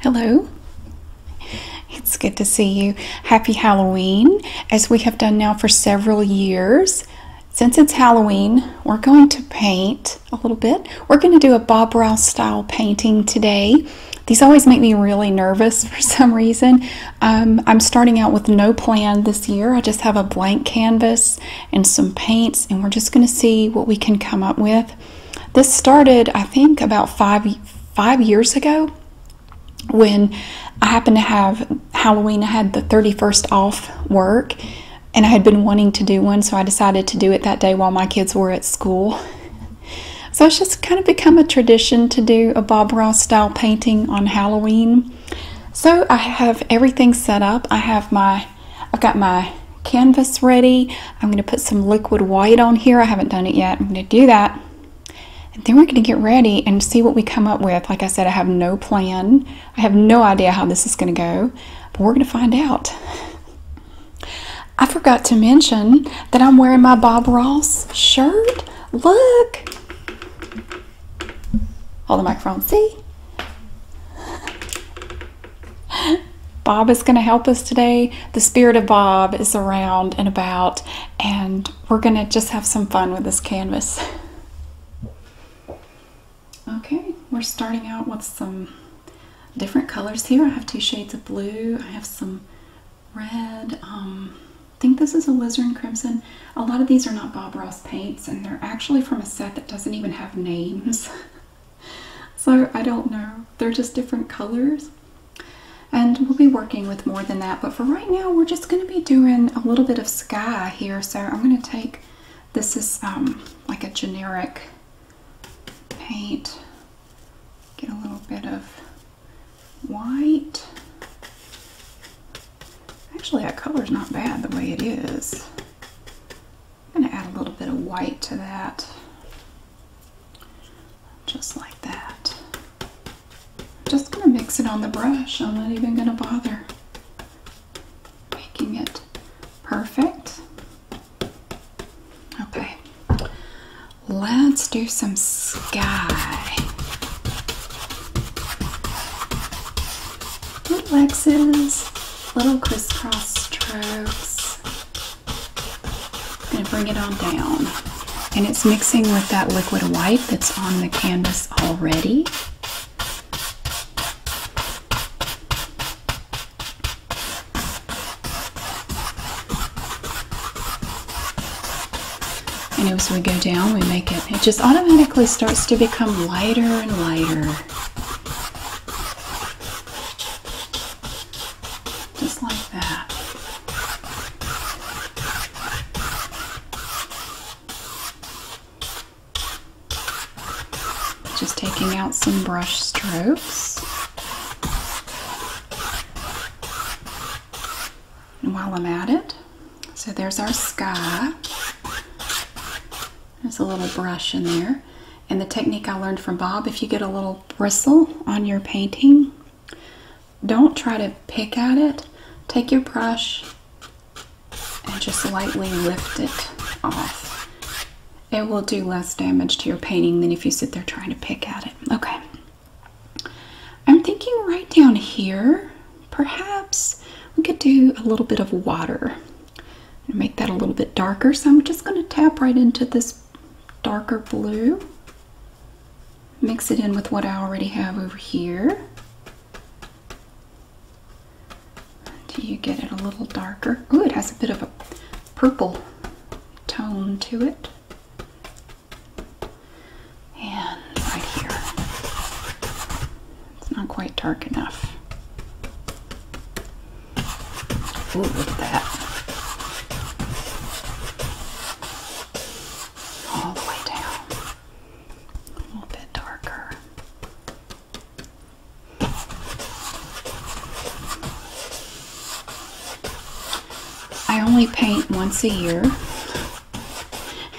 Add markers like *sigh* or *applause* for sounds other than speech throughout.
Hello. It's good to see you. Happy Halloween. As we have done now for several years, since it's Halloween, we're going to paint a little bit. We're going to do a Bob Ross style painting today. These always make me really nervous *laughs* for some reason. Um, I'm starting out with no plan this year. I just have a blank canvas and some paints, and we're just going to see what we can come up with. This started, I think, about five five years ago when I happened to have Halloween. I had the 31st off work and I had been wanting to do one, so I decided to do it that day while my kids were at school. *laughs* So it's just kind of become a tradition to do a Bob Ross style painting on Halloween. So I have everything set up. I have my, I've got my canvas ready. I'm going to put some liquid white on here. I haven't done it yet. I'm going to do that. And then we're going to get ready and see what we come up with. Like I said, I have no plan. I have no idea how this is going to go, but we're going to find out. I forgot to mention that I'm wearing my Bob Ross shirt. Look. Hold the microphone. See? Bob is going to help us today. The spirit of Bob is around and about, and we're going to just have some fun with this canvas. Okay, we're starting out with some different colors here. I have two shades of blue. I have some red. Um, I think this is a Lizard and Crimson. A lot of these are not Bob Ross paints, and they're actually from a set that doesn't even have names. *laughs* so I don't know. They're just different colors. And we'll be working with more than that. But for right now, we're just going to be doing a little bit of sky here. So I'm going to take, this is um, like a generic paint. Get a little bit of white. Actually, that color's not bad the way it is. I'm going to add a little bit of white to that, just like that. Just going to mix it on the brush. I'm not even going to bother making it perfect. Okay, let's do some sky. Little X's, little crisscross strokes and bring it on down. And it's mixing with that liquid white that's on the canvas already. And as we go down, we make it, it just automatically starts to become lighter and lighter. Just like that. Just taking out some brush strokes. And while I'm at it, so there's our sky. There's a little brush in there and the technique I learned from Bob, if you get a little bristle on your painting, don't try to pick at it. Take your brush and just lightly lift it off. It will do less damage to your painting than if you sit there trying to pick at it. Okay. I'm thinking right down here, perhaps we could do a little bit of water. Make that a little bit darker. So I'm just going to tap right into this darker blue, mix it in with what I already have over here Do you get it a little darker. Oh, it has a bit of a purple tone to it. And right here, it's not quite dark enough. Ooh, look at that. All the way down. A little bit darker. I only paint once a year,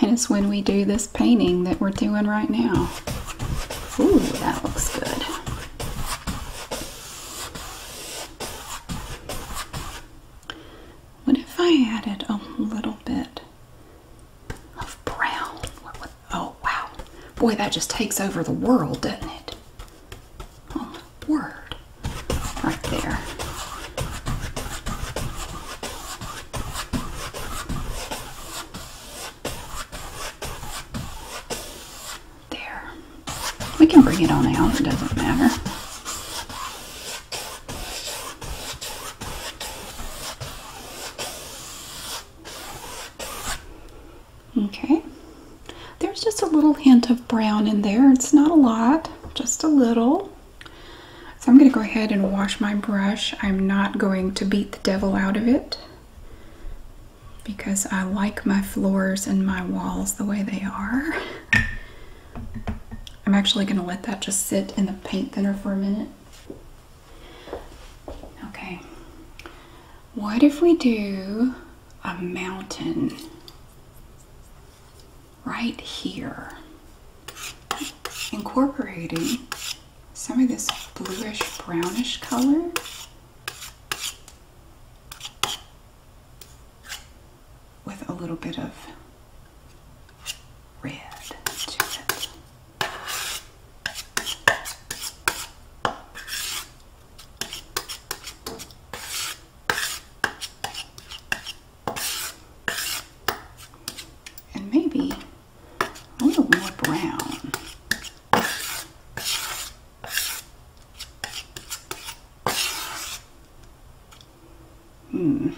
and it's when we do this painting that we're doing right now. Ooh, that looks good. What if I added a little bit of brown? oh, wow. Boy, that just takes over the world, doesn't it? Oh, word. Right there. There. We can bring it on out, it doesn't matter. Okay. There's just a little hint of brown in there. It's not a lot, just a little. So I'm going to go ahead and wash my brush. I'm not going to beat the devil out of it because I like my floors and my walls the way they are. I'm actually going to let that just sit in the paint thinner for a minute. Okay. What if we do a mountain right here? Incorporating some of this bluish brownish color with a little bit of red And maybe a little more brown. Hmm.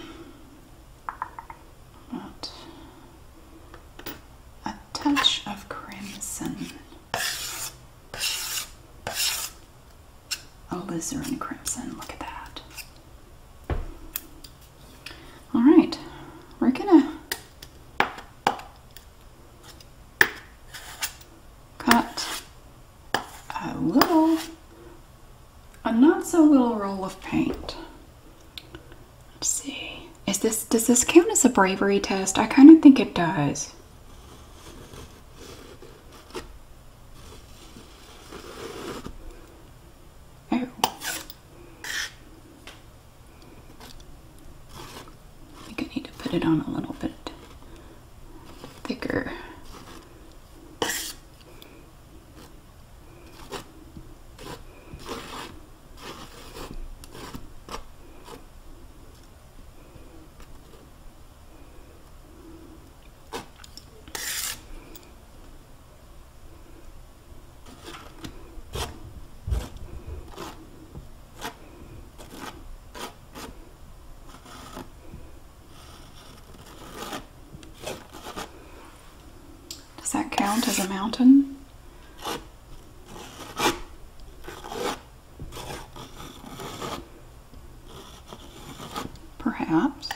a touch of crimson. Alizarin crimson. Look at that. All right. We're gonna cut a little, a not so little roll of paint. Let's see. Is this, does this count as a bravery test? I kind of think it does. Oh. I think I need to put it on a little bit thicker. Does that count as a mountain? Perhaps.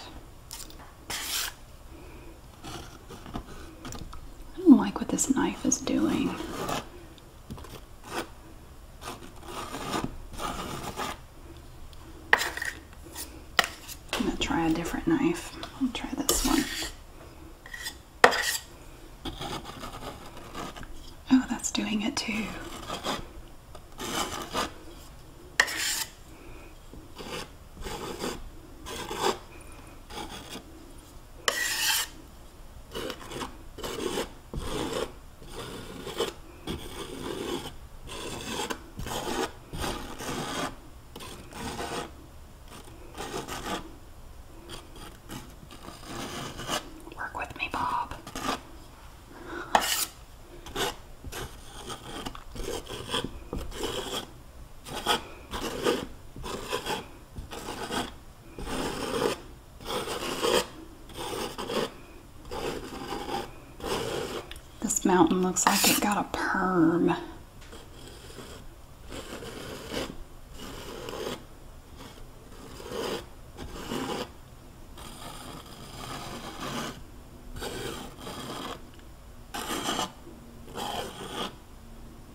I don't like what this knife is doing. I'm going to try a different knife. I'll try this one. Oh, that's doing it too. Work with me, Bob. This mountain looks like it got a perm.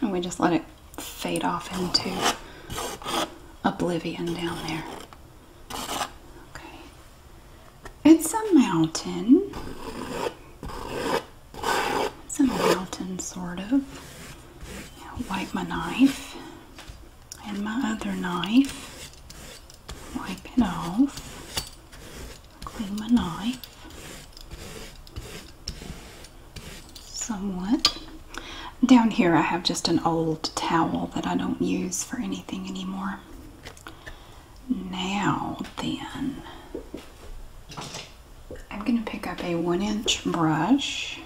And we just let it fade off into oblivion down there. Okay. It's a mountain. It's a mountain, sort of. wipe my knife and my other knife. Wipe it off clean my knife somewhat. Down here I have just an old towel that I don't use for anything anymore. Now then, I'm going to pick up a one inch brush.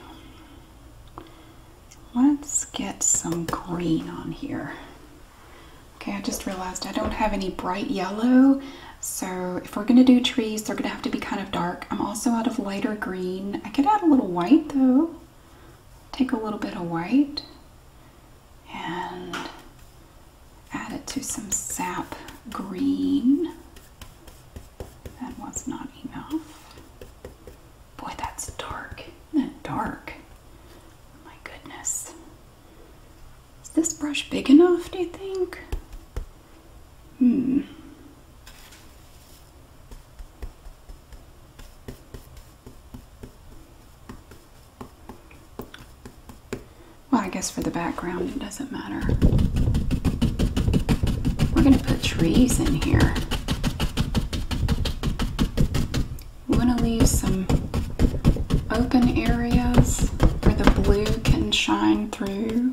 Let's get some green on here. Okay, I just realized I don't have any bright yellow. So if we're gonna do trees, they're gonna have to be kind of dark. I'm also out of lighter green. I could add a little white though. Take a little bit of white and add it to some sap green. That was not enough. Boy, that's dark. that dark? My goodness. Is this brush big enough, do you think? Hmm. Well, I guess for the background it doesn't matter. We're gonna put trees in here. You want to leave some open areas where the blue can shine through.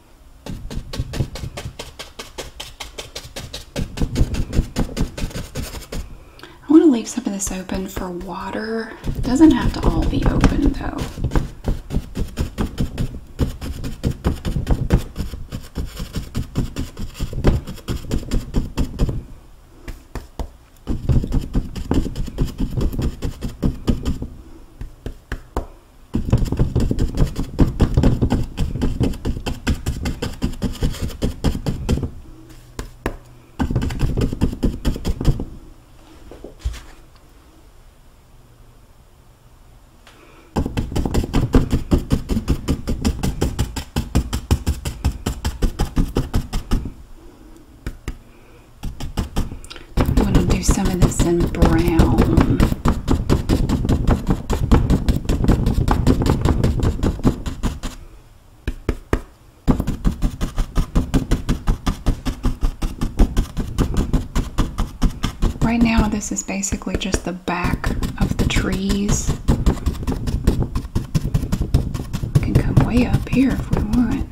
I want to leave some of this open for water. It doesn't have to all be open though. I'm going to do some of this in brown. Right now, this is basically just the back of the trees. We can come way up here if we want.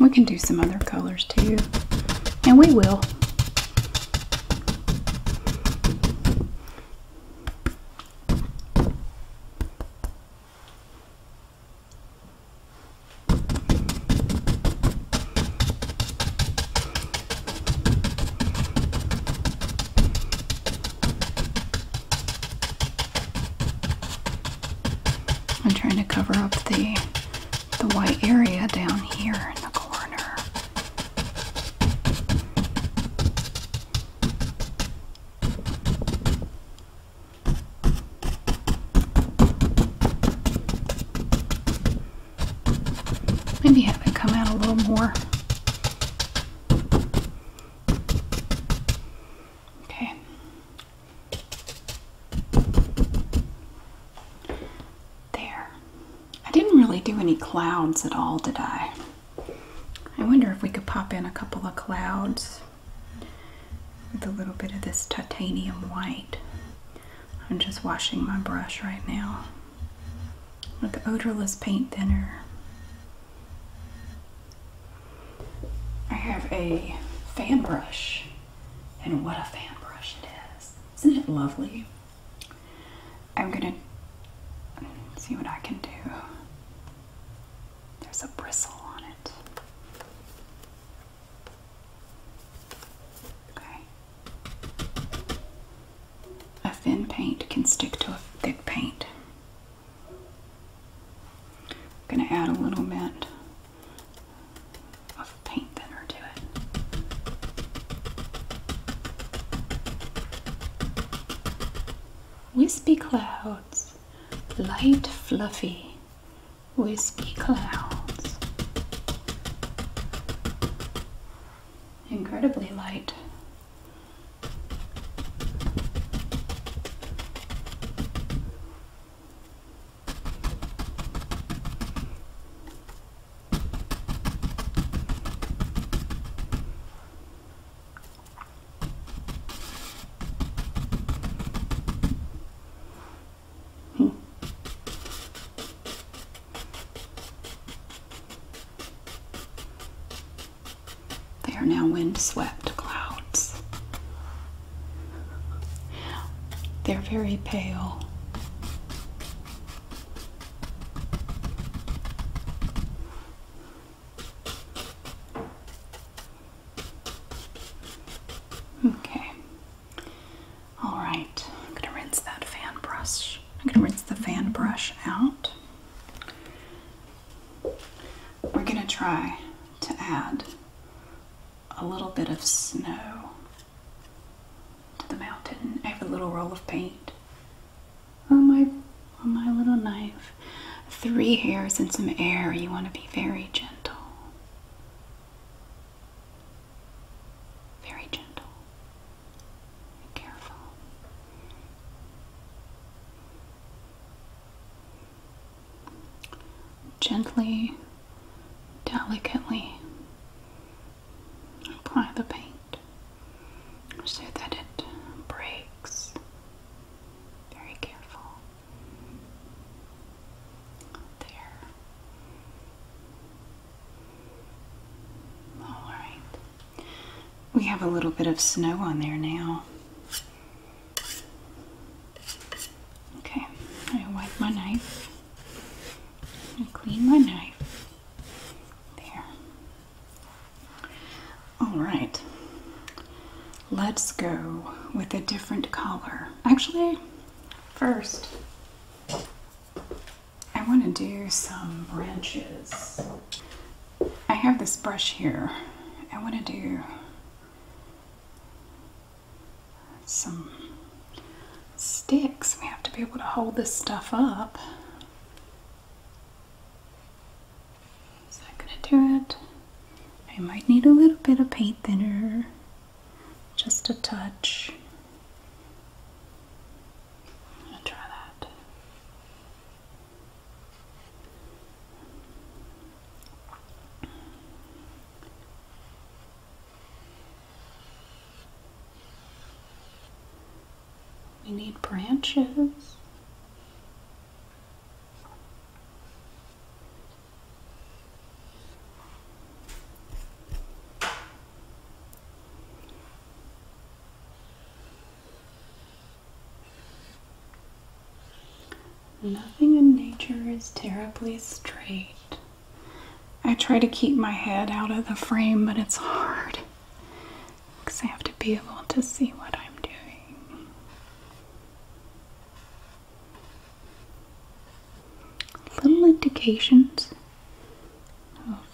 We can do some other colors too, and we will. I'm trying to cover up the the white area down here in the corner. Maybe have it come out a little more. Okay. There. I didn't really do any clouds at all, did I? I wonder if we could pop in a couple of clouds with a little bit of this titanium white. I'm just washing my brush right now with odorless paint thinner. I have a fan brush, and what a fan brush it is! Isn't it lovely? I'm gonna see what I can do. There's a bristle on it. Okay. A thin paint can stick to a thick paint. I'm going to add a little bit of paint thinner to it. Wispy clouds light, fluffy, wispy clouds. Incredibly light. They are now wind swept clouds. They're very pale. Okay. All right. I'm going to rinse that fan brush. I'm going to rinse the fan brush out. We're going to try to add a little bit of snow to the mountain. I have a little roll of paint on my on my little knife. Three hairs and some air. You want to be very gentle. Very gentle. careful. Gently, delicately apply the paint so that it breaks very careful there. All right. We have a little bit of snow on there now. Okay, I wipe my knife. I clean my knife. There. All right, let's go with a different color. Actually, first, I want to do some branches. I have this brush here. I want to do some sticks. We have to be able to hold this stuff up. Is that gonna do it? I might need a little bit of paint thinner, just a touch. I'm try that. We need branches. Nothing in nature is terribly straight. I try to keep my head out of the frame, but it's hard because I have to be able to see what I'm doing. Little indications of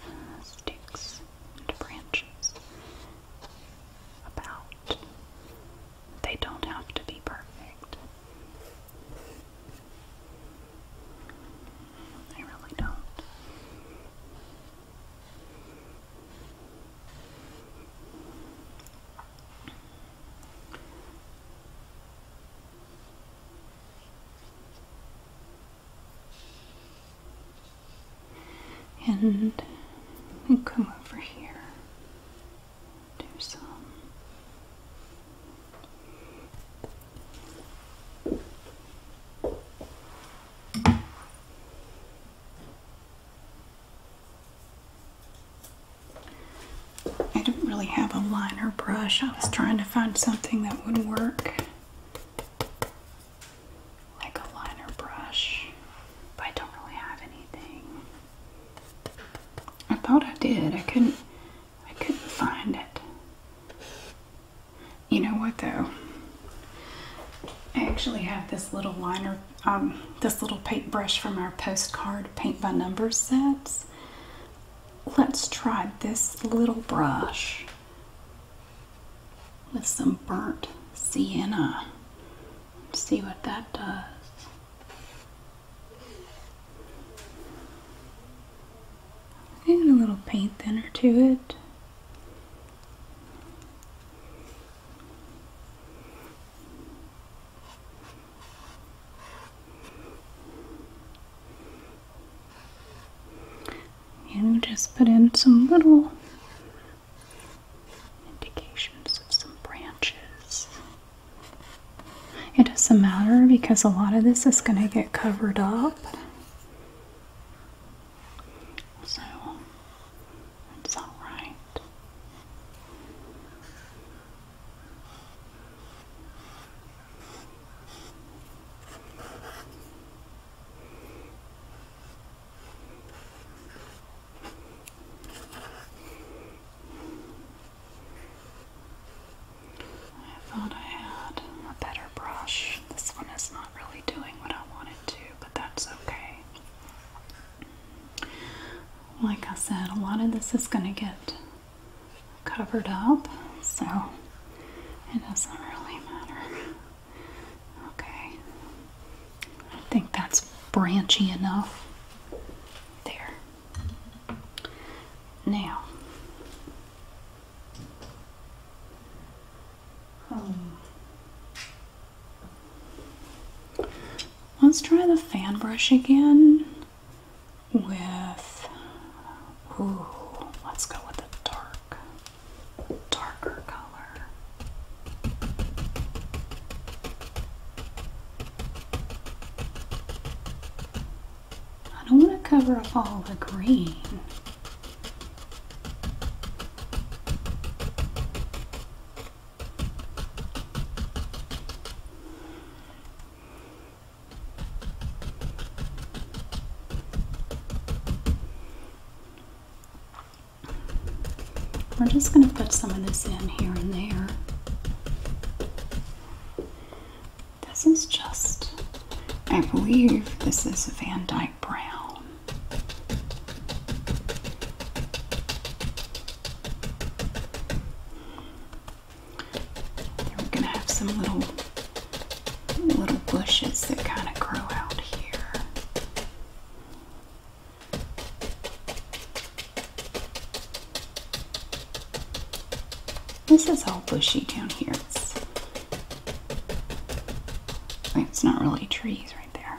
sticks and branches about. They don't have to be perfect. They really don't. And we come over here. Do some. I don't really have a liner brush. I was trying to find something that would work. Like a liner brush. But I don't really have anything. I thought I did. I couldn't I couldn't find it. You know what though? I actually have this little liner um, this little paintbrush from our postcard paint by numbers sets. Let's try this little brush with some burnt sienna. see what that does. And a little paint thinner to it. And we just put in some little indications of some branches. It doesn't matter because a lot of this is going to get covered up so it's all right. I thought I had a better brush. This one is not really doing what I want to, but that's okay. Like I said, a lot of this is going to get covered up, so it doesn't really matter. Okay, I think that's branchy enough. There. Now, um, Let's try the fan brush again with. Ooh, let's go with a dark, darker color. I don't want to cover up all the green. We're just going to put some of this in here and there. This is just, I believe this is Van Dyke Brown. We're gonna have some little little bushes that kind of grow out here. This is all bushy down here. It's, it's not really trees right there.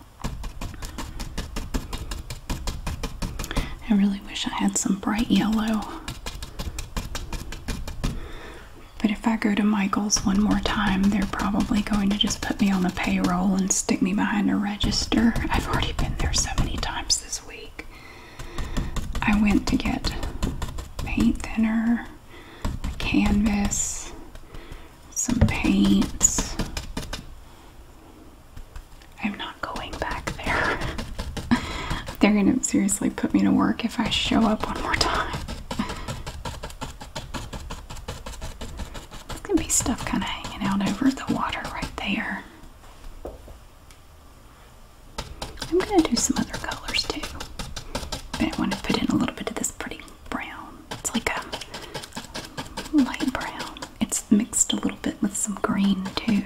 I really wish I had some bright yellow. But if I go to Michael's one more time, they're probably going to just put me on the payroll and stick me behind a register. I've already been there so many times this week. I went to get paint thinner, a canvas, some paints. I'm not going back there. *laughs* They're gonna seriously put me to work if I show up one more time. There's gonna be stuff kind of hanging out over the water right there. I'm gonna do some other colors too. But I want to put in a little bit of this pretty brown. It's like a light brown. It's mixed a little bit with some green too.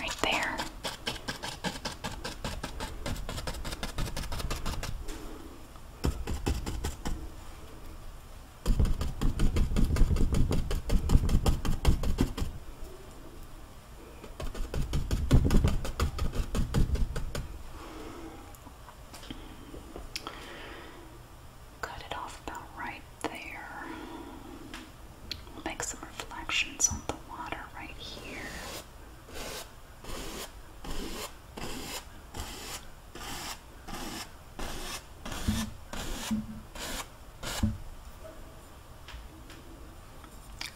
Right there. Cut it off about right there. make some reflections on the water right here.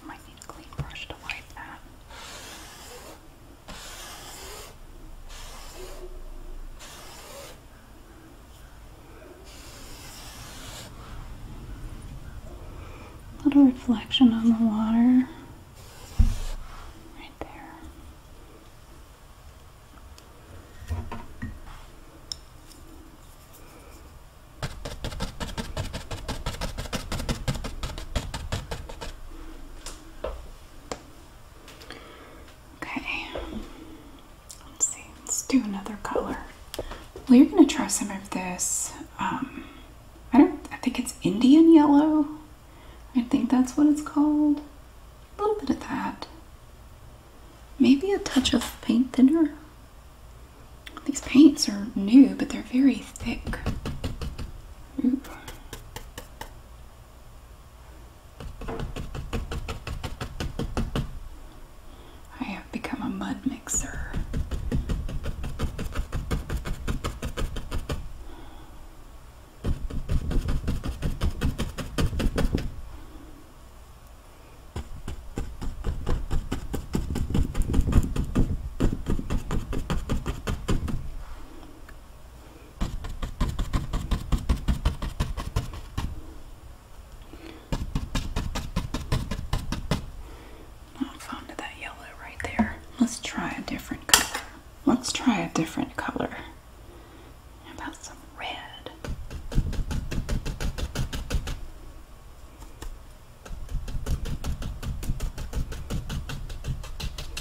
Might need a clean brush to wipe that. A Little reflection on the water right there. Okay, let's see. Let's do another color. Well, you're gonna try some of this. Um, I don't. I think it's Indian yellow. I think that's what it's called. A little bit of that. Maybe a touch of paint thinner. These paints are new, but they're very thick. I have become a mud mixer. Not fond of that yellow right there. Let's try a different color. Let's try a different color. about some red?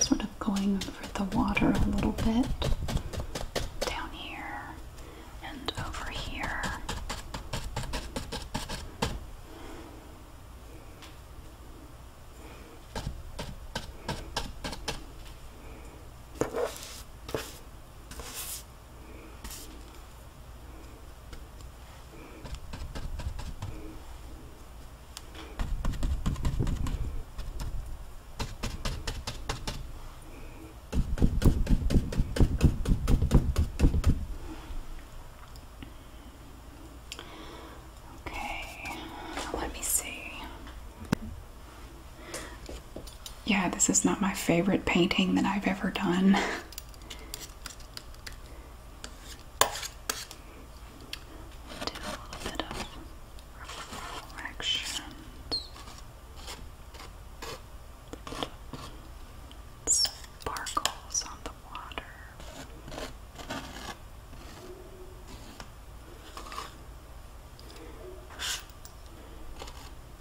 Sort of going over the water a little bit down here and over here. Okay, let me see. Yeah, this is not my favorite painting that I've ever done. Do a little bit of reflections. Sparkles on the water.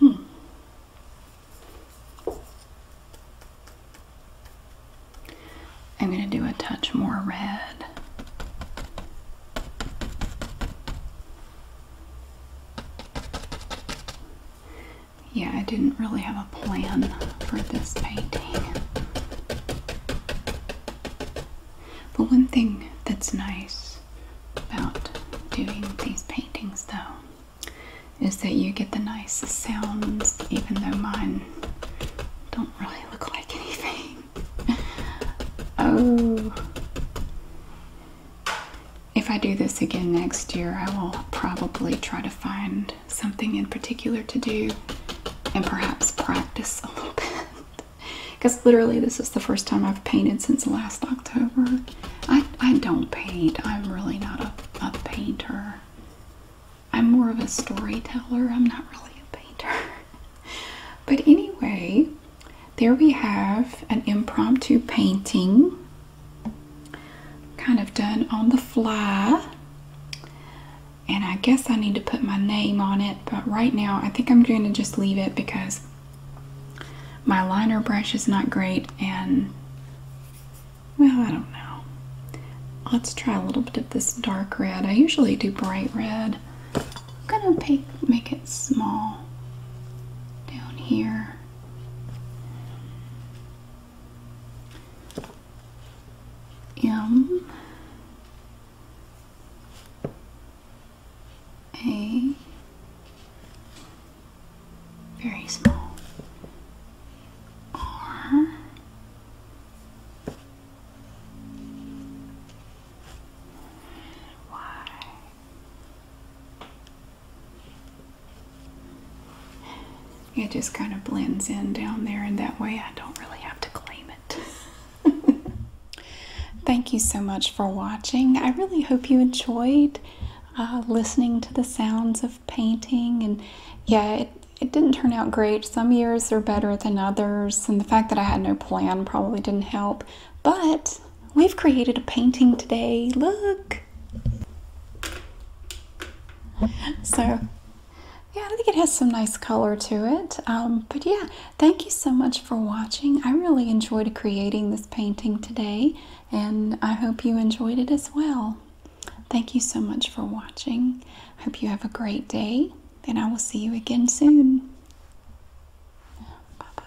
Hmm. I'm going to do a touch more red. Yeah, I didn't really have plan for this painting. But one thing that's nice about doing these paintings though is that you get the nice sounds even though mine don't really look like anything. *laughs* oh. If I do this again next year, I will probably try to find something in particular to do and perhaps practice a little bit. Because *laughs* literally, this is the first time I've painted since last October. I, I don't paint, I'm really not a, a painter. I'm more of a storyteller, I'm not really a painter. *laughs* But anyway, there we have an impromptu painting kind of done on the fly and I guess I need to put my name on it, but right now I think I'm going to just leave it because my liner brush is not great and well, I don't know. Let's try a little bit of this dark red. I usually do bright red. I'm gonna make, make it small down here. M A very small R Y it just kind of blends in down there, and that way I don't really have to claim it. *laughs* Thank you so much for watching. I really hope you enjoyed uh, listening to the sounds of painting. And yeah, it didn't turn out great. Some years are better than others, and the fact that I had no plan probably didn't help. But we've created a painting today. Look! So yeah, I think it has some nice color to it. Um, but yeah, thank you so much for watching. I really enjoyed creating this painting today, and I hope you enjoyed it as well. Thank you so much for watching. I hope you have a great day, and I will see you again soon. Bye bye.